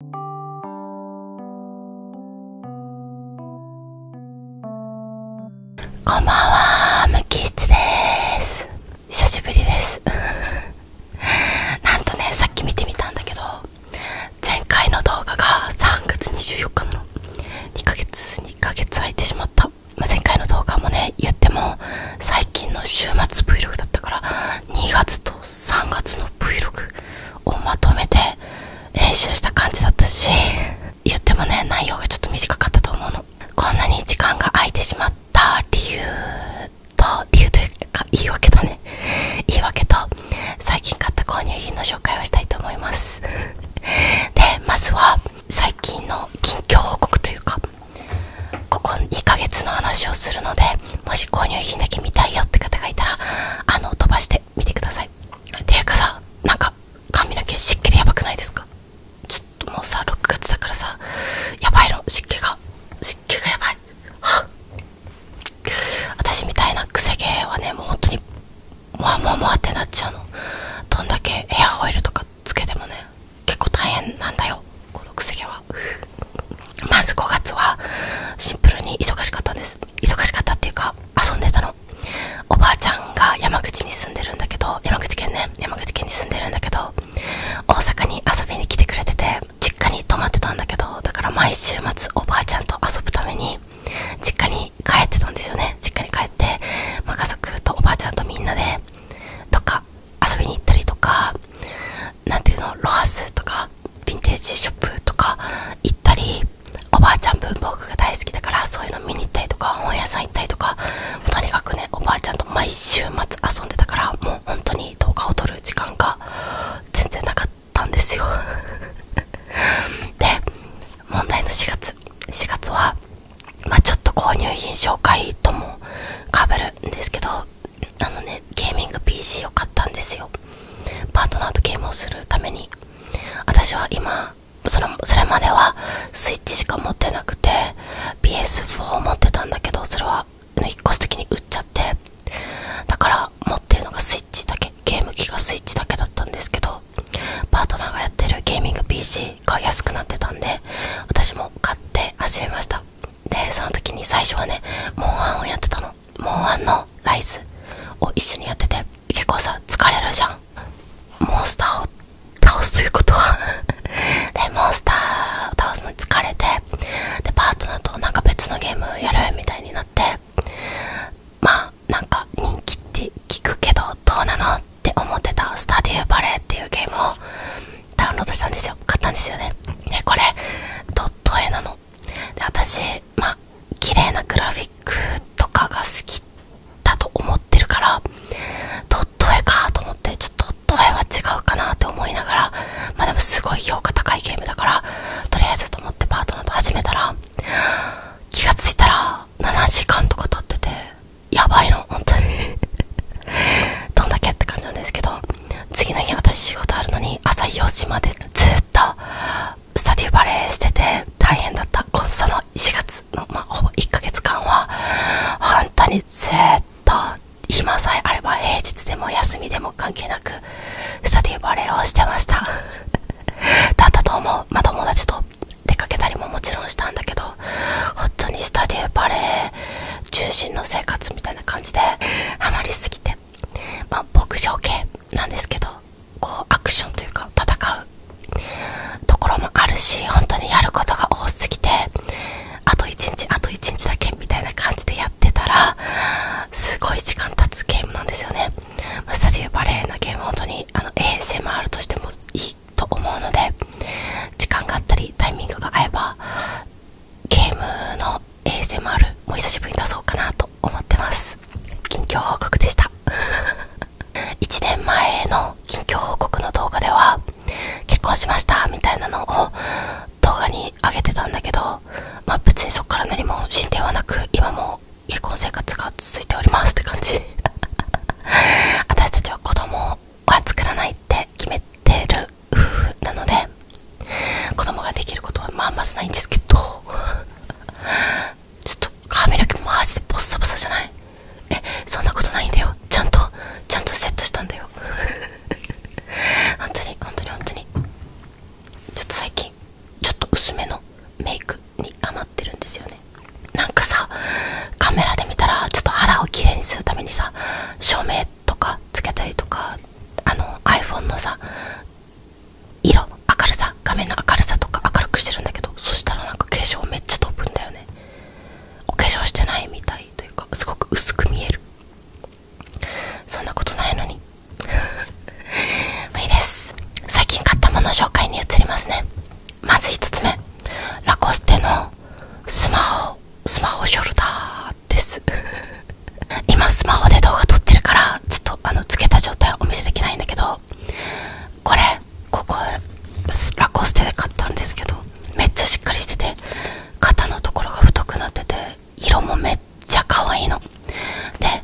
こんばんは、無機質です。久しぶりです。なんとね、さっき見てみたんだけど、前回の動画が3月24日なの。2ヶ月、2ヶ月空いてしまった。ま前回の動画もね、言っても、最近の週末 Vlog だったから、2月と3月の Vlog をまとめて編集した感じだったし言ってもね内容がちょっと短かったと思うのこんなに時間が空いてしまった理由と理由というか言い訳だね言い訳と最近買った購入品の紹介をしたいと思いますでまずは最近の近況報告というかここ2ヶ月の話をするのでもし購入品だけ見たいよって方がいたらあの飛ばしてみてくださいていうかさなんか髪の毛湿気でヤバくないですかちょっともうさ6月だからさやばいの湿気が湿気がやばいはっ私みたいなくせ毛はねもう本当にもわもわもわってなっちゃうのどんだけエアオイルとかつけてもね結構大変なんだよこのくせ毛はまず5月はシンプルに忙しかったんです忙しかったっていうか遊んでたのおばあちゃんが山口に住んでるんだけど山口県ね山口県に住んでるんだけど大阪に遊びに来てくれてて実家に泊まってたんだけどだから毎週末おばあちゃんと遊ぶために実家に帰ってたんですよね実家に帰って、ま家族とおばあちゃんとみんなでどっか遊びに行ったりとかなていうのロハスとかヴィンテージショップとか行ったりおばあちゃん文房具が大好きだからそういうの見に行ったりとか本屋さん行ったりとかもうとにかくねおばあちゃんと毎週末遊んでたからもう本当に動画を撮る時間が全然なかったんですよ で問題の4月4月はまあちょっと購入品紹介ともかぶるんですけどあのねゲーミング PC を買ったんですよパートナーとゲームをするために私は今それそれまではスイッチしか持ってなくて PS4 を持ってたんだけどそれは引っ越す時に売っちゃってだから持ってるのがスイッチだけゲーム機がスイッチだけだったんですけどパートナーがやってるゲーミング PC が安くなってたんで私も買って始めましたでその時に最初はねモンハンをやってたのモンワンのライズを一緒にやってて結構さ疲れるじゃんモンスターを倒すということは でモンスターを倒すのに疲れてでパートナーとなんか別のゲームやるみたいになってまあなんか人気って聞くけどどうなのって思ってたスタディーバレーっていうゲームをダウンロードしたんですよ買ったんですよねでこれドット絵なので私まあ綺麗なグラフィックとかが好きだと思ってるからドット絵かと思ってちょっとドット絵は違うかなって思いながらまでもすごい評価高いゲームだからとりあえずと思ってパートナーと始めたら気がついたら7時間とか経っててやばいの本当に どんだけって感じなんですけど次の日私仕事あるのに朝4時までずっとスタディバレーしてて大変だったこその4月の、まほぼ1ヶ月間はん当にずっと暇さえあれば平日でも休みでも関係なくスタディバレーをしてましただったと思う、ま友達と出かけたりももちろんしたんだけど本当にスタディバレー中心の生活みたいな感じでハマりすぎてま牧場系なんですけどこうアクションというか戦うところもあるし本当にやることが多すぎてあと1日あと1日だけみたいな感じでやってたらすごい時間経つゲームなんですよね、まあ、スタディバレーのゲーム本当にあの a もあるとしてもいいと思うので時間があったりタイミングが合えばゲームの ASMR も久しぶりに出そうかなと思ってます近況報告でした1 年前の近況報告の動画では結婚しましたみたいなのを動画に上げてたんだけどまあ別にそっから何も進展はなく今も結婚生活が続いておりますって感じ 私たちは子供は作らないって決めてる夫婦なので子供ができることはまあまずないんですけど ちょっと髪の毛マジでボッサボサじゃないえそんなことないんだよちゃんとちゃんとセットしたんだよ 本当に本当に本当にちょっと最近ちょっと薄めのメイクに余ってるんですよねなんかさカメラで見たらちょっと肌をきれいにするためにさ照明とかつけたりとかあの iPhone のさ色明るさ画面の明るさとか明るくしてるんだけどそしたらなんか化粧めっちゃ飛ぶんだよねお化粧してないみたいというかすごく薄く見えるそんなことないのにいい です最近買ったもの紹介に移りますねまず1つ目ラコステのスマホスマホショルダーです 今スマホで動画撮ってるからちょっとあのつけた状態はお見せできないんだけどこれここラコステで買ったんですけどめっちゃしっかりしてて肩のところが太くなってて色もめっちゃ可愛いので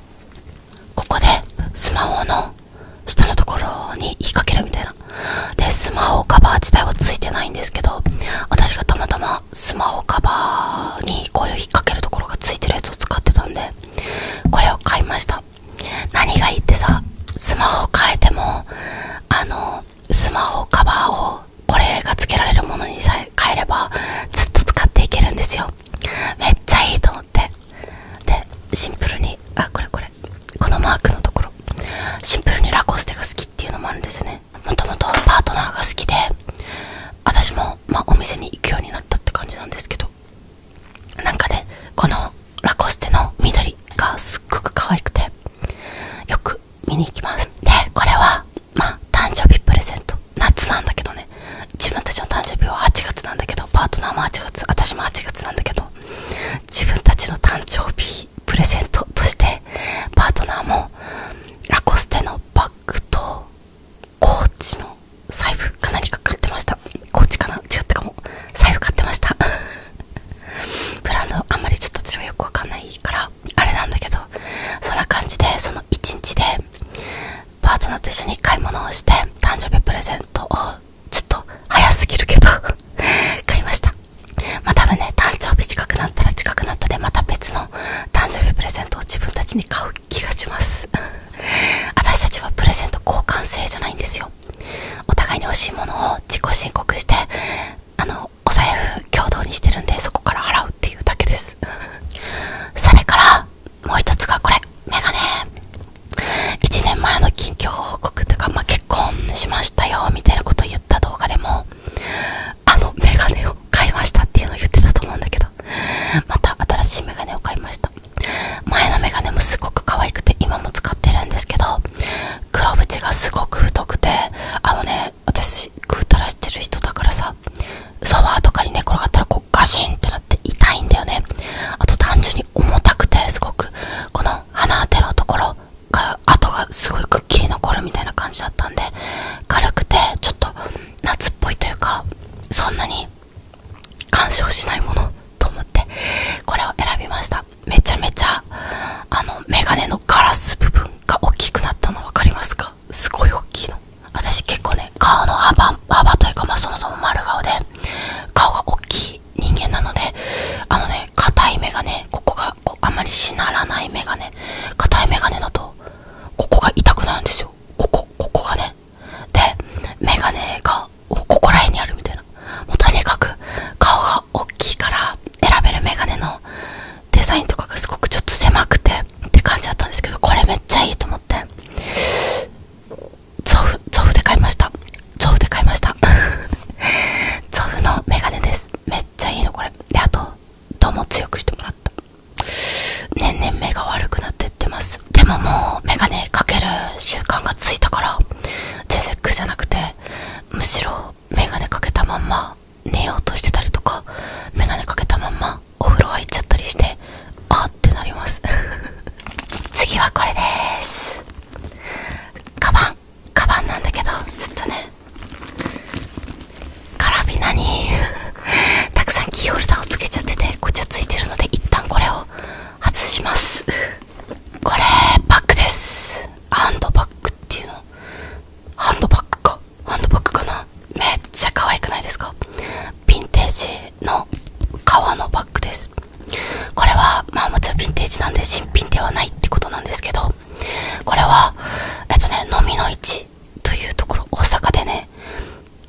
ここでスマホの下のところに引っ掛けるみたいなでスマホカバー自体はついてないんですけど私がたまたまスマホカバーにこういう引っ掛けるところが付いてるやつを使ってたんでこれを買いました何がいいってさスマホを変えてもあのスマホカバーをこれが付けられるものにさえ変えればずっと使っていけるんですよめっちゃいいと思ってでシンプルにあこれこれこのマークのところシンプルにラコステが好きっていうのもあるんですよねもともとパートナーが好きで私も、まお店に行くようになったって感じなんですけどなんかねこのラコステの緑がすっごく可愛くてよく見に行きますでこれはまあ誕生日プレゼント夏なんだけどね自分たちの誕生日は8月なんだけどパートナーも8月私も8月なんだけど自分たちの誕生日プレゼントとしてパートナーもラコステのバッグとコーチの財布かなりか買ってましたコーチかな違ったかも財布買ってましたブ ランドあんまりちょっと私はよくわかんないからあれなんだけどそんな感じでその1日でパートナーと一緒に買い物をして誕生日プレゼントをちょっと早すぎるけど 買いましたまあ多分ね誕生日近くなったら近くなったでまた別の誕生日プレゼントを自分たちに買う気がします 私たちはプレゼント交換制じゃないんですよお互いに欲しいものを自己申告してあのお財布共同にしてるんでそこから払うっていうだけです それからもう一つがこれメガネ1年前の近況報告とか、ま結婚しましたよみたいなこと言った動画でもあのメガネを買いましたっていうのを言ってたと思うんだけどまた新しいメガネを買いました前のメガネもすごく可愛くて今も使ってるんですけど黒縁がすごく太くてあのね私ぐうたらしてる人だからさソファーとかに寝転がったらこうガシンってなって痛いんだよねあと単純に重たくてすごくこの鼻当てのところか跡がすごいくっきり残るみたいな感じだったんで軽くてちょっと夏っぽいというかそんなに干渉しないものと思ってこれを選びましためちゃめちゃあのメガネのガラス部分が大きくなったの分かりますかすごい大きいの私結構ね顔の幅幅というかまそもそも丸顔で顔が大きい人間なのであのね硬いメガネここがこうあまりしならないメガネ硬いメガネだとここが痛くなるんですよここここがねでメガネがここら辺にあるみたいなもうとにかく顔が大きいから選べるメガネのデザインとかがすごくちょっと狭くてって感じだったんですけどこれめっちゃいいと思ってゾフゾフで買いましたゾフで買いました ゾフのメガネですめっちゃいいのこれであとどうも強くしてもらった年々目が悪くなってってますでももう眼鏡かける習慣がついたから全然苦じゃなくてむしろ眼鏡かけたまんま寝ようとしてたりとか眼鏡かけたままお風呂入っちゃったりしてあってなります 次はこれですカバンカバンなんだけどちょっとねカラビナに たくさんキーホルダーをつけちゃっててこっちはついてるので一旦これを外しますこれバッグですハンドバッグっていうのハンドバッグかハンドバッグかなめっちゃ可愛くないですかヴィンテージの革のバッグですこれはまあもちろんヴィンテージなんで新品ではないってことなんですけどこれはえっとね飲みの市というところ大阪でね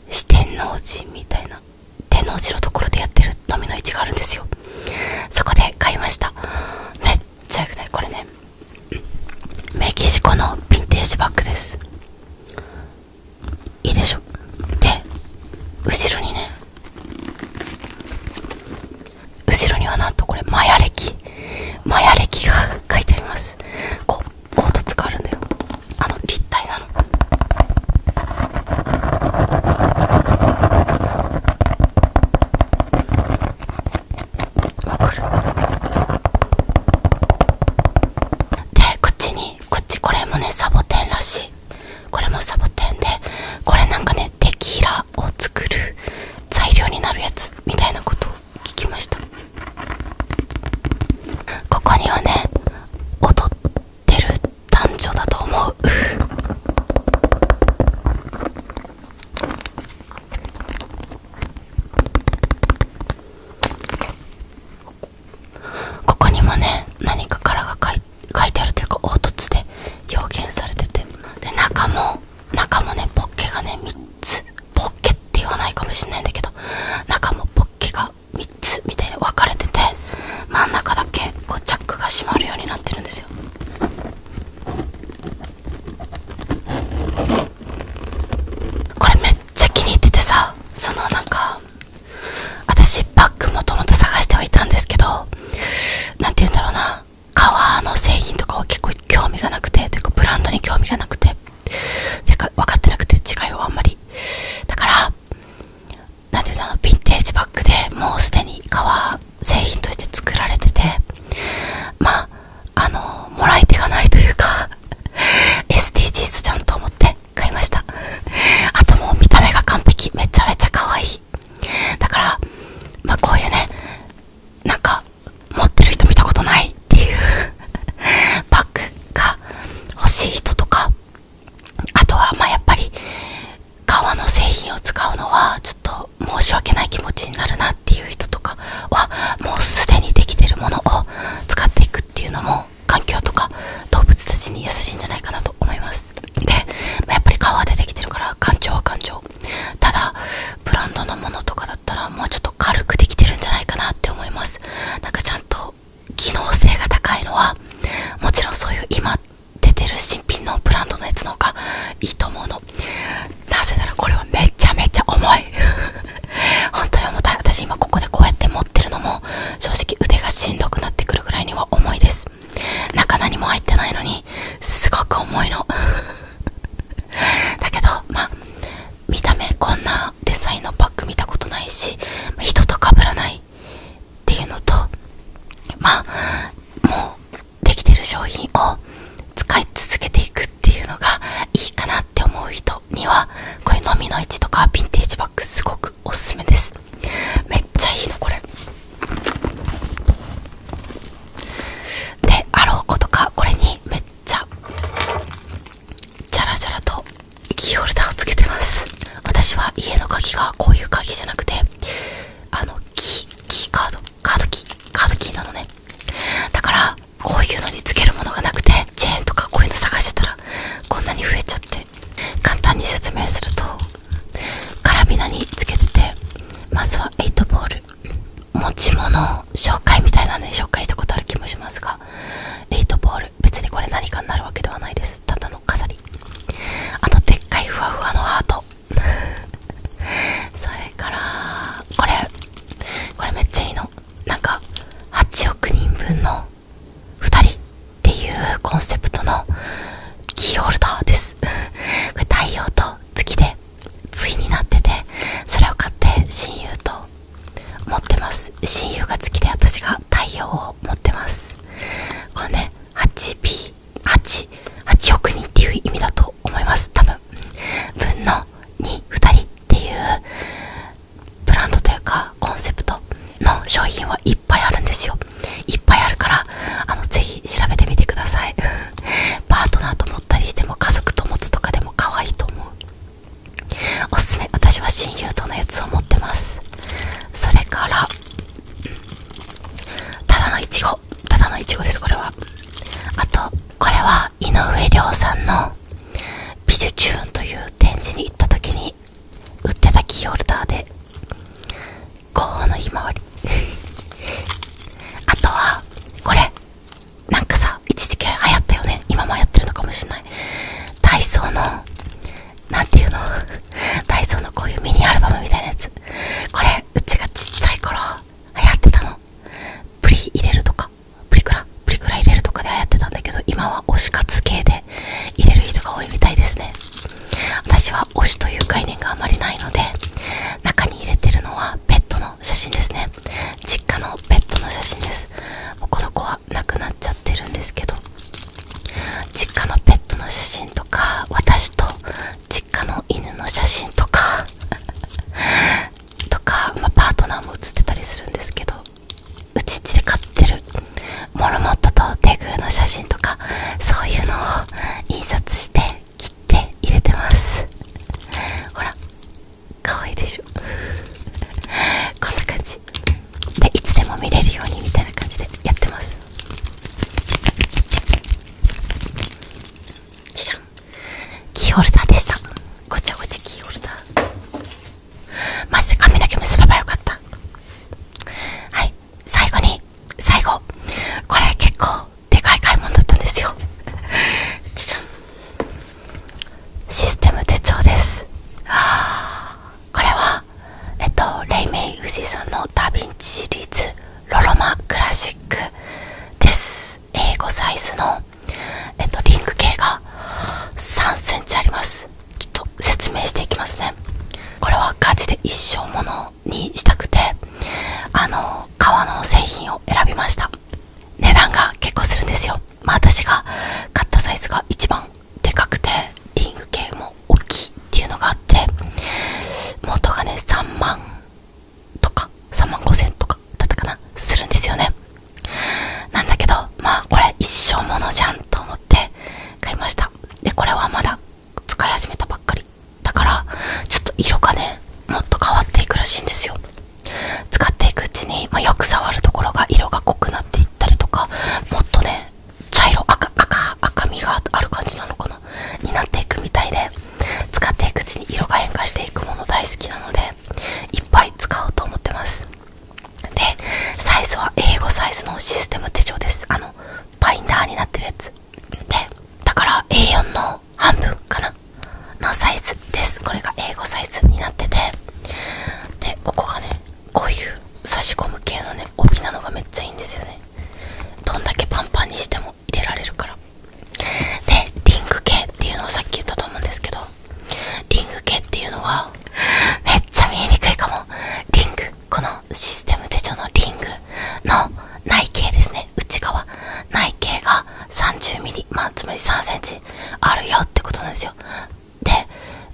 四天王寺みたいな天王寺のところでやってる飲みの市があるんですよそこで買いましためっちゃよくないこれねメキシコのヴィンテージバッグですいいでしょで後ろにね後ろにはなんとこれマヤ歴マヤ歴が書いてありますこう凹凸があるんだよあの立体なのわかるでこっちにこっちこれもねサボテンらしいこれもサボテンでこれなんかねテキーラを作る材料になるやつみたいなことを聞きましたここにはね踊ってる男女だと思うここにもね何か殻が書いてあるというか凹凸で表現されててで中も中もねポッケがね3つポッケって言わないかもしんないんだけど中もポッケが3つみたいに分かれてて真ん中だけこうチャックが閉まるようになってるんですよこれめっちゃ気に入っててさそのなんか私バッグもともと探してはいたんですけど何て言うんだろうな革の製品とかは結構興味がなくてというかブランドに興味がなくててか分かってなくて違いはあんまりだからなんていうのヴィンテージバッグでもうすでに革製品として作られててまああのもらい手がないというか SDGs じゃんと思って買いましたあともう見た目が完璧めちゃめちゃ可愛いだからまあこういうねなんか持ってる人見たことないっていう バックが欲しい人とかあとはまあやっぱり革の製品を使うのはちょっと申し訳ない気持ちになるなっていう人とかはもうすでにできてるものを使っていくっていうのも環境とか動物たちに優しいんじゃないかなと思いますで、まやっぱり革でできてるから感情は感情ただブランドのものとかだったらもうちょっと軽くできてるんじゃないかなって思いますなんかちゃんと機能性が高いのはもちろんそういう今出てる新品のブランドのやつの方がいいと思うのなぜならこれはめちゃめちゃ重い 本当に重たい私今ここでこうやって持ってるのも正直腕がしんどくなってくるぐらいには重いです中何も入ってないのにすごく重いの だけどま見た目こんなデザインのバッグ見たことないし人とかぶらないっていうのとまもうできてる商品を使い続けていくっていうのがいいかなって思う人にはこういうのみの市とかヴィンテージバッグすごくおすすめですめっちゃいいのこれであろうことかこれにめっちゃジャラジャラとキーホルダーをつけてます私は家の鍵がこういう鍵じゃなくてあのキーキーカードカードキーカードキーなのねだからこういうのにつけるものがなくてチェーンとかこういうの探してたらこんなに増えちゃって簡単に説明するとカラビナにつけててまずは8ボール持ち物紹介みたいなので紹介したことある気もしますが8ボール別にこれ何かになるわけではないですただの飾りあとでっかいふわふわのハートそれからこれこれめっちゃいいのなんか8億人分の2人っていうコンセプトのキーホルダーです太陽と付でつになっててそれを買って親友と持ってます親友が好きで私が太陽を持ってますこれね 8P8 8億人っていう意味だと思います多分分の22人っていうブランドというかコンセプトの商品はいっぱいあるんですよいっぱいあるからあのぜひ調べてみてくださいパートナーと思ったりしても家族と持つとかでも可愛いと思うおすすめ私は親友とのやつを持ってますそれからただのいちごただのいちごですこれはあとこれは井上涼さんの「ビジュチューン」という展示に行った時に売ってたキーホルダーで5のひまわり あとはこれなんかさ一時期流行ったよね今もやってるのかもしれないダイソーの何ていうの ダイソーのこういうミニアルバムみたいなやつこれうちがちっちゃい頃流行ってたのプリ入れるとかプリクラプリクラ入れるとかで流行ってたんだけど今は推し活系で入れる人が多いみたいですね私は推しという概念があまりないので中に入れてるのはペットの写真ですね実家のペットの写真ですもうこの子は亡くなっちゃってるんですけど実家のペットの写真とか私と実家の犬の写真とか とか、まパートナーも写ってたりするんですけどうち家で飼ってるモルモットとデグーの写真とかそういうのを印刷して切って入れてますほらかわいいでしょ こんな感じでいつでも見れるようにみたいな感じでやってますじゃんキーホルダーでしたごちゃごちゃキーホルダーマジで髪の毛結べばよかったはい最後に最後これ結構でかい買い物だったんですよシステム手帳ですこれはえっとレイメイ・ウジさんのダ・ヴィンチシリーズ「ロロマ・クラシック」です英語サイズのえっとリング径が3センチありますちょっと説明していきますねこれはガチで一生にしたくてあの革の製品を選びました値段が結構するんですよまあ私が買ったサイズが一番でかくてリング系も大きいっていうのがあって元がね3万とか3万5000とかだったかなするんですよねなんだけどまあこれ一生ものじゃんと思って買いましたでこれはまだ使い始めたばっかりだからちょっと色がねもっと変わっていくらしいんですよ使っていくうちに、まよく触るところが色が濃くなっていったりとかもっとね茶色赤赤赤みがある感じなのかなになっていくみたいで使っていくうちに色が変化していくもの大好きなのでいっぱい使おうと思ってますでサイズは英語サイズのシステム手帳ですあのファインダーになってるやつでだから A4 の半分かなのサイズですこれが A5 サイズになっててでここがねこういう差し込む系のね帯なのがめっちゃいいんですよねどんだけパンパンにしても入れられるからでリング系っていうのをさっき言ったと思うんですけどリング系っていうのはめっちゃ見えにくいかもリングこのシステム手帳のリングの内径ですね内側内径が 30mm、まつまり 3cm あるよってことなんですよで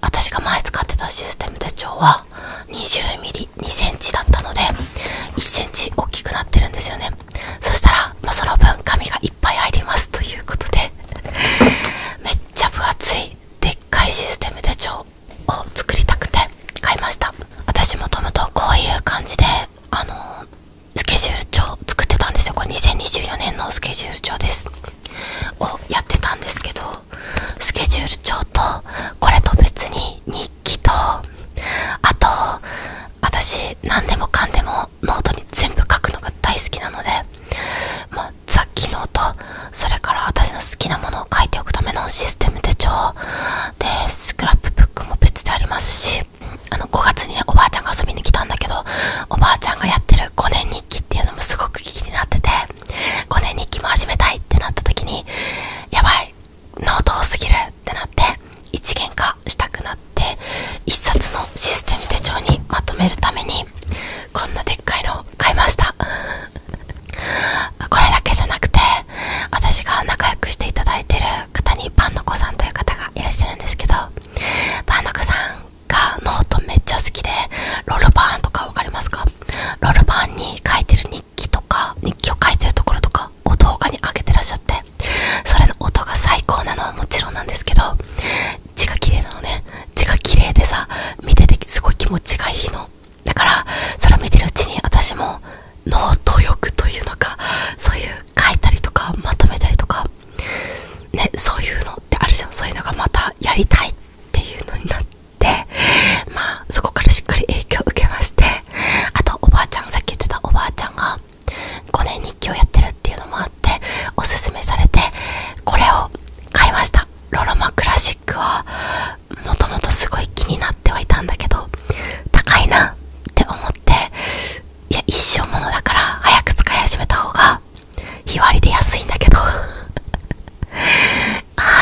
私が前使ってたシステム手帳は 20mm2cm だったので 1cm 大きくなってるんですよねそしたら、まその分紙がいっぱい入りますということでめっちゃ分厚いでっかいシステム手帳を作りたくて買いました私もともとこういう感じであのスケジュール帳作ってたんですよこれ2024年のスケジュール帳ですをやってたんですけどスケジュール帳とこれと別に日記とあと私何でもかんでもノートに全部書くのが大好きなのでまあ雑記の音。それから私の好きなものを書いておくためのシステム手帳でスクラップブックも別でありますしあの5月におばあちゃんが遊びに来たんだけどおばあちゃんがやってる5年日記っていうのもすごく気になってて5年日記も始めたいってなった時にやばいノート多すぎるってなって一元化したくなって1冊のシステム手帳にまとめるためにこんなでっかいのを買いました これだけじゃなくて私が仲良くしていただいてる方にパンの子さんという方がいらっしゃるんですけどパンの子さんがノートめっちゃ好きでロールバーンとか分かりますかロールバーンに書いてる日記とか日記を書いてるところとかを動画に上げてらっしゃってそれの音が最高なのはもちろんなんですけど字が綺麗なのね字が綺麗でさ見ててすごい気持ちがいいのだからそれを見てるうちに私もノート欲というのかそういう書いたりとかまとめたりとかねそういうのってあるじゃんそういうのがまたやりたいっていうのになってまあそこからしっかり影響を受けましてあとおばあちゃんさっき言ってたおばあちゃんが5年日記をやってるっていうのもあっておすすめされてこれを買いましたロロマクラシックはもともとすごい気になってはいたんだけど高いなって思っていや一生ものだから早く使い始めた方が日割りで安いんだけど あー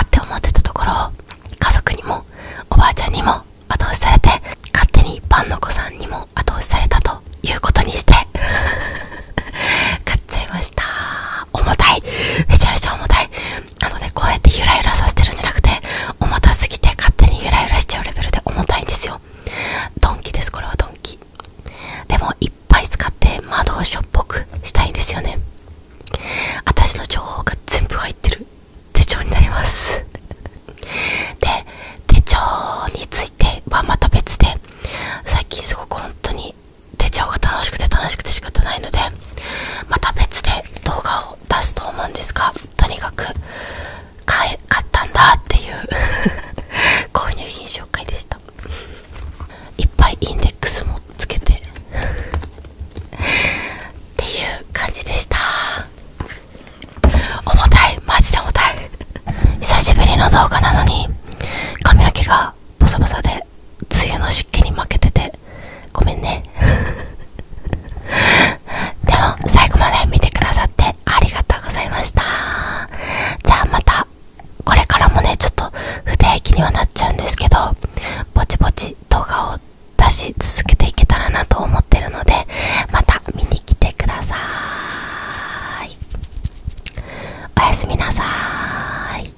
って思ってたところ家族にもおばあちゃんにも後押しされて勝手にパンの子さんにも後押しされたということにして 買っちゃいました重たいめちゃめちゃ重たいあのねこうやってゆらゆらさせてるんじゃなくて重たすぎて勝手にゆらゆらしちゃうレベルで重たいんですよドンキですこれはドンキでもいっぱい使って魔導書っぽくしたいんですよね私の情報が全部入ってる手帳になりますで手帳についてはまた別で最近すごく本当に手帳が楽しくて楽しくて仕方ないのでまた別で動画を出すと思うんですがとにかく買え買ったんだっていう 購入品紹介でしたいっぱいインデックスもつけてっていう感じでした重たいマジで重たい久しぶりの動画なのに髪の毛がボサボサで梅雨の湿気に負けててごめんね でも最後まで見てくださってありがとうございましたじゃあまたこれからもねちょっと不定期にはなっちゃうんですけどぼちぼち動画を出し続けていけたらなと思ってるのでまた見に来てくださいおやすみなさーい